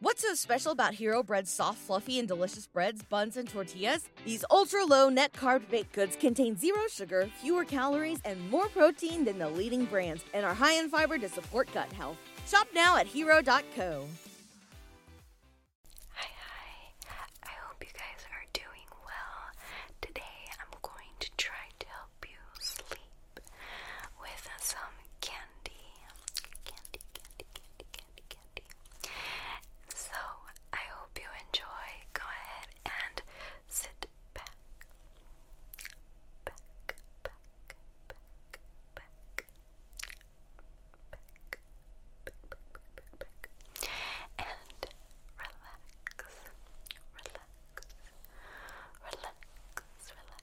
What's so special about Hero Bread's soft, fluffy, and delicious breads, buns, and tortillas? These ultra low net carb baked goods contain zero sugar, fewer calories, and more protein than the leading brands, and are high in fiber to support gut health. Shop now at hero.co. Hi, hi. I hope you guys are doing well. Today I'm going to try to help you sleep with some candy candy, candy, candy, candy, candy. So I hope you enjoy. Go ahead and sit back, back, back, back, back, back, back, back, back, and relax, relax, relax, relax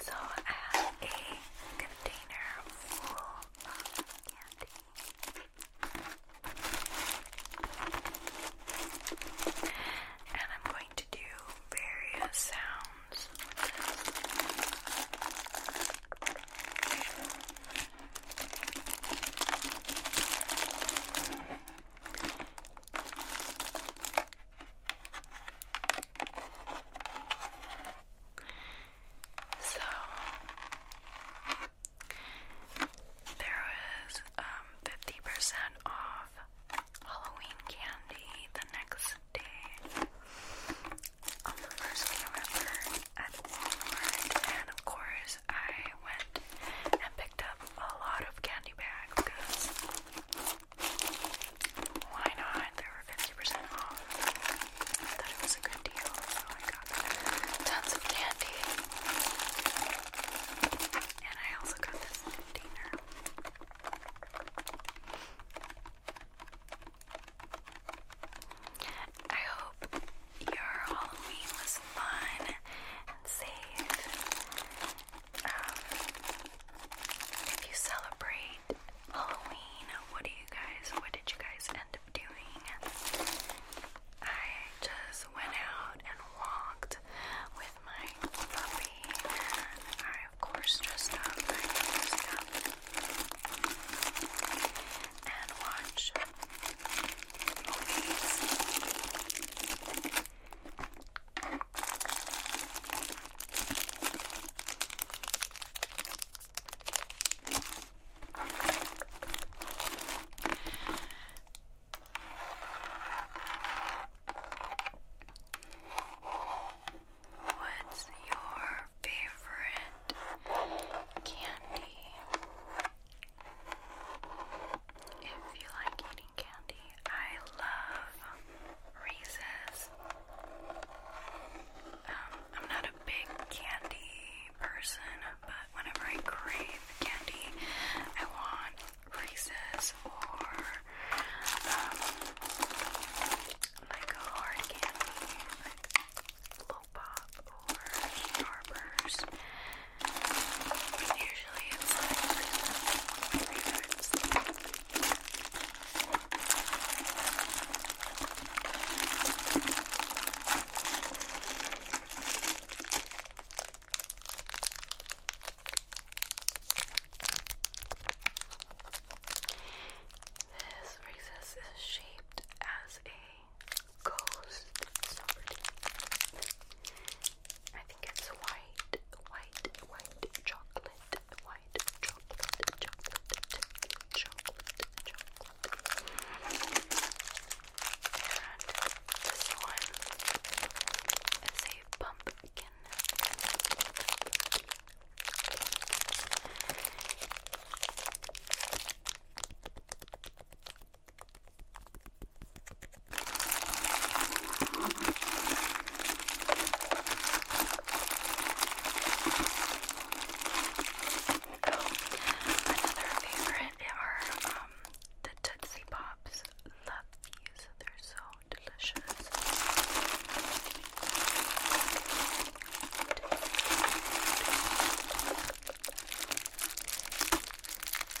So I have a container full of candy. And I'm going to do various sounds so there was 50% um, off Halloween candy the next day on the first of November at Walmart and of course I went and picked up a lot of candy bags why not? They were 50% off. I thought it was a good deal, so I got tons of candy. And I also got this container. I hope your Halloween was fun and safe if you celebrate Halloween, what do you guys, what did you guys end up doing? I just went out and walked with my puppy, and I, of course, dressed up my stuff and watched movies. What's your favorite candy? If you like candy. I love Reese's. Um, I'm not a big candy person, but whenever I crave candy, I want Reese's or um, like a hard candy, like Low or Starburst. Usually it's like three times. This recess is shaped as a ghost. So pretty. I it's white, white, white chocolate, white chocolate, chocolate, chocolate, chocolate. And this one is a pumpkin. Another favorite are um, the Tootsie Pops. Love these, they're so delicious.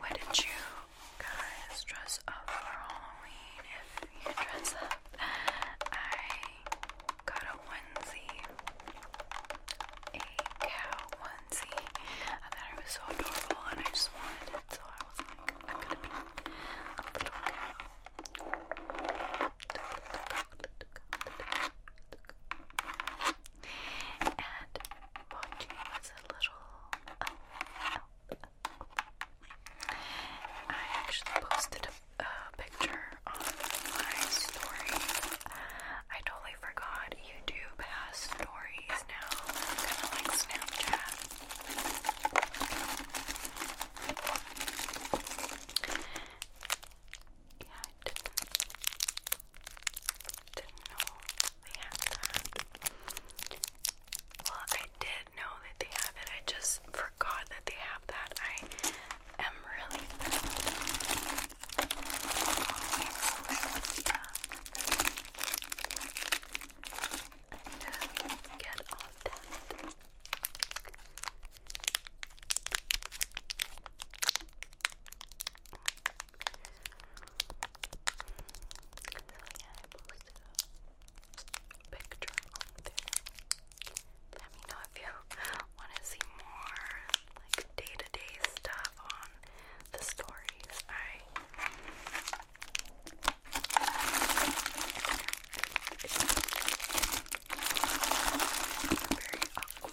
Wouldn't you guys dress up for Halloween if you dress up? I got a onesie, a cow onesie. I thought it was so adorable and I just wanted it, so I was gonna be a cow. And watching was a little. I actually posted a, picture on my story. I totally forgot YouTube has stories now, kind of like Snapchat. Didn't know they had that. Well, I did know that they have it. I just forgot that they have that. I am really I to get off that yeah, I posted a picture Let me know if you want to see more like day-to-day stuff on the stories. Alright. Very awkward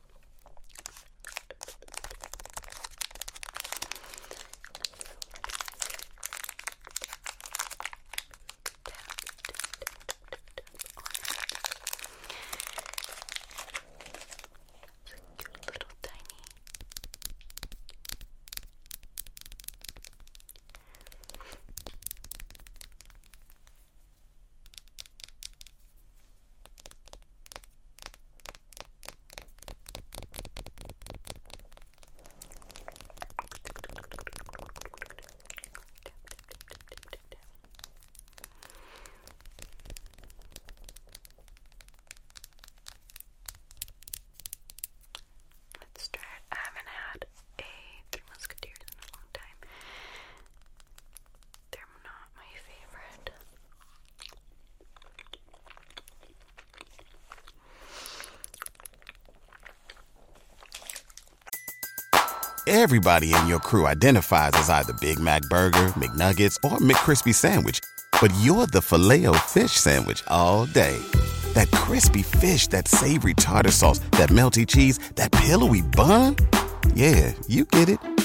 cute little tiny Let's try it. I haven't had a Three Musketeers in a long time. They're not my favorite. Everybody in your crew identifies as either Big Mac Burger, McNuggets, or McCrispy Sandwich, but you're the filet fish Sandwich all day. That crispy fish, that savory tartar sauce, that melty cheese, that pillowy bun. Yeah, you get it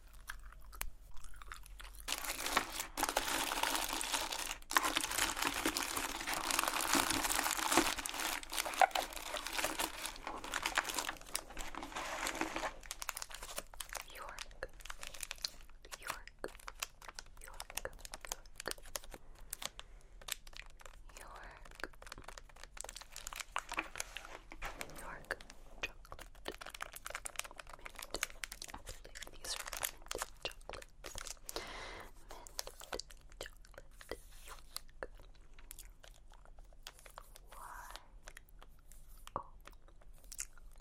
York, York, York, York. York, York chocolate mint. Actually, these are mint chocolates. Mint chocolate Why? Oh.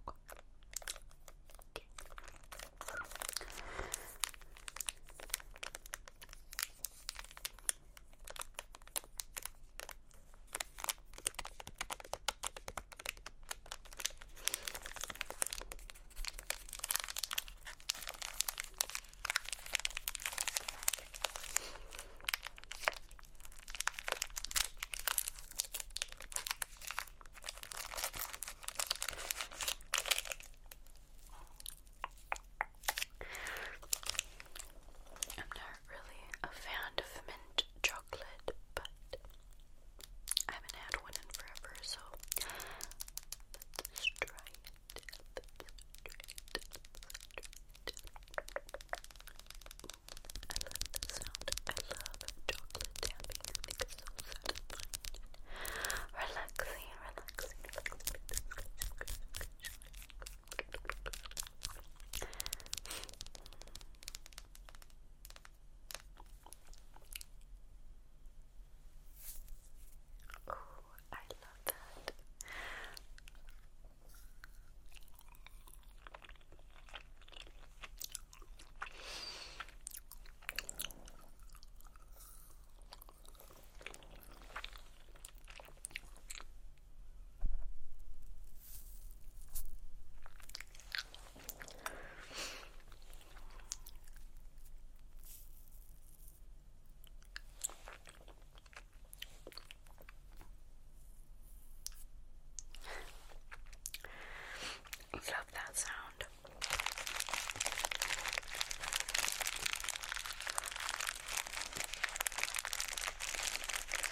Okay. I'm tired really a fan of mint chocolate, but I haven't had one in forever, so let's try it. I love the sound. I love chocolate tapping. I think it's so satisfying. Relaxing, relaxing, relaxing. Oh, I love that. Love that sound.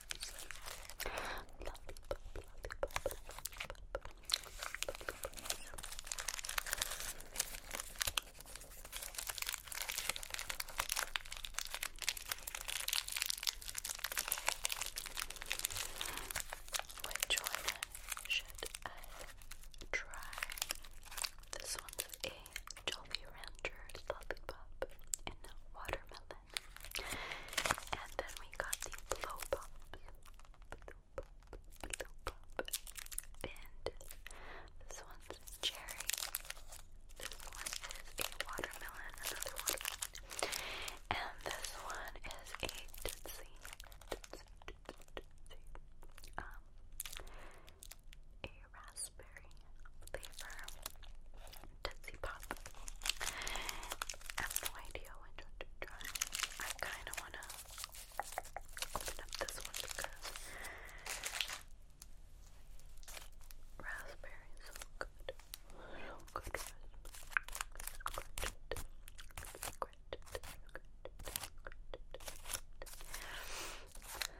Which one should I try? This one's a Jolly Rancher lollipop in watermelon. And then we got the blow pop, blow pop, blow pop This cherry. This one is a watermelon, another watermelon. And this one is a Um, a raspberry raspberry flavor Tootsie Pop. have no idea which one to try. I kind of want to open up this one because raspberry is so good.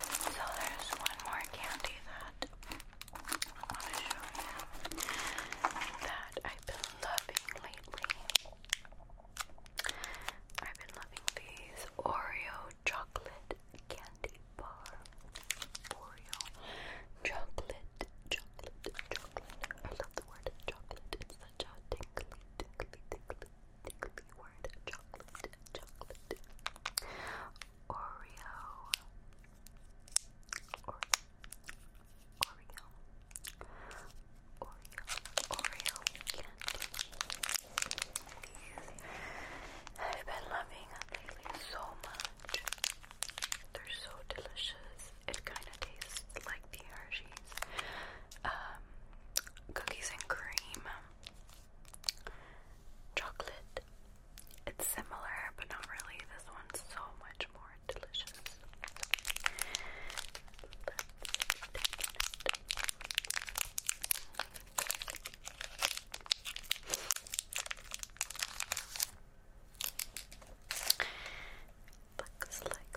So there's one more candy that I want to show you that I've been loving lately. I've been loving these Oreo chocolate candy bar. Oreo chocolate, chocolate, chocolate. I love the word chocolate the jaw tingly, word chocolate, chocolate, Oreo, Oreo, Oreo, Oreo I've been loving lately so much. They're so delicious. It kind of tastes like the Hershey um, cookies and cream, chocolate. It's similar, but not really. This one's so much more delicious looks like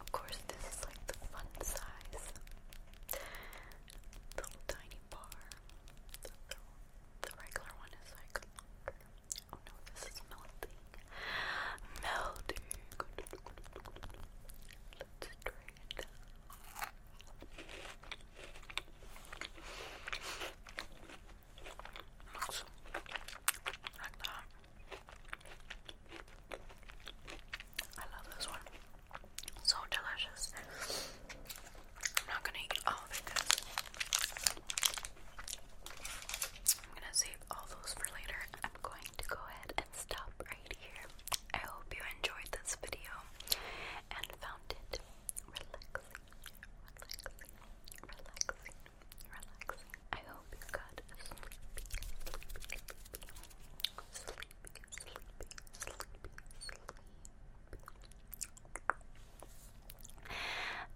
Of course, this is like the fun size. little tiny bar. The, regular one is like, oh no, this is melting. Melting. Let's try it. like that. I love this one. So delicious. I'm not gonna eat all of it I'm gonna save all those for later. I'm going to go ahead and stop right here. I hope you enjoyed this video and found it relaxing relaxing. I hope you got a sleepy, sleepy, sleepy, sleepy, sleepy, sleepy.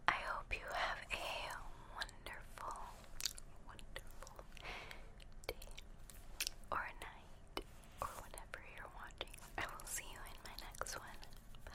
I hope you have a wonderful, wonderful day or night or whenever you're watching. I will see you in my next one. Bye.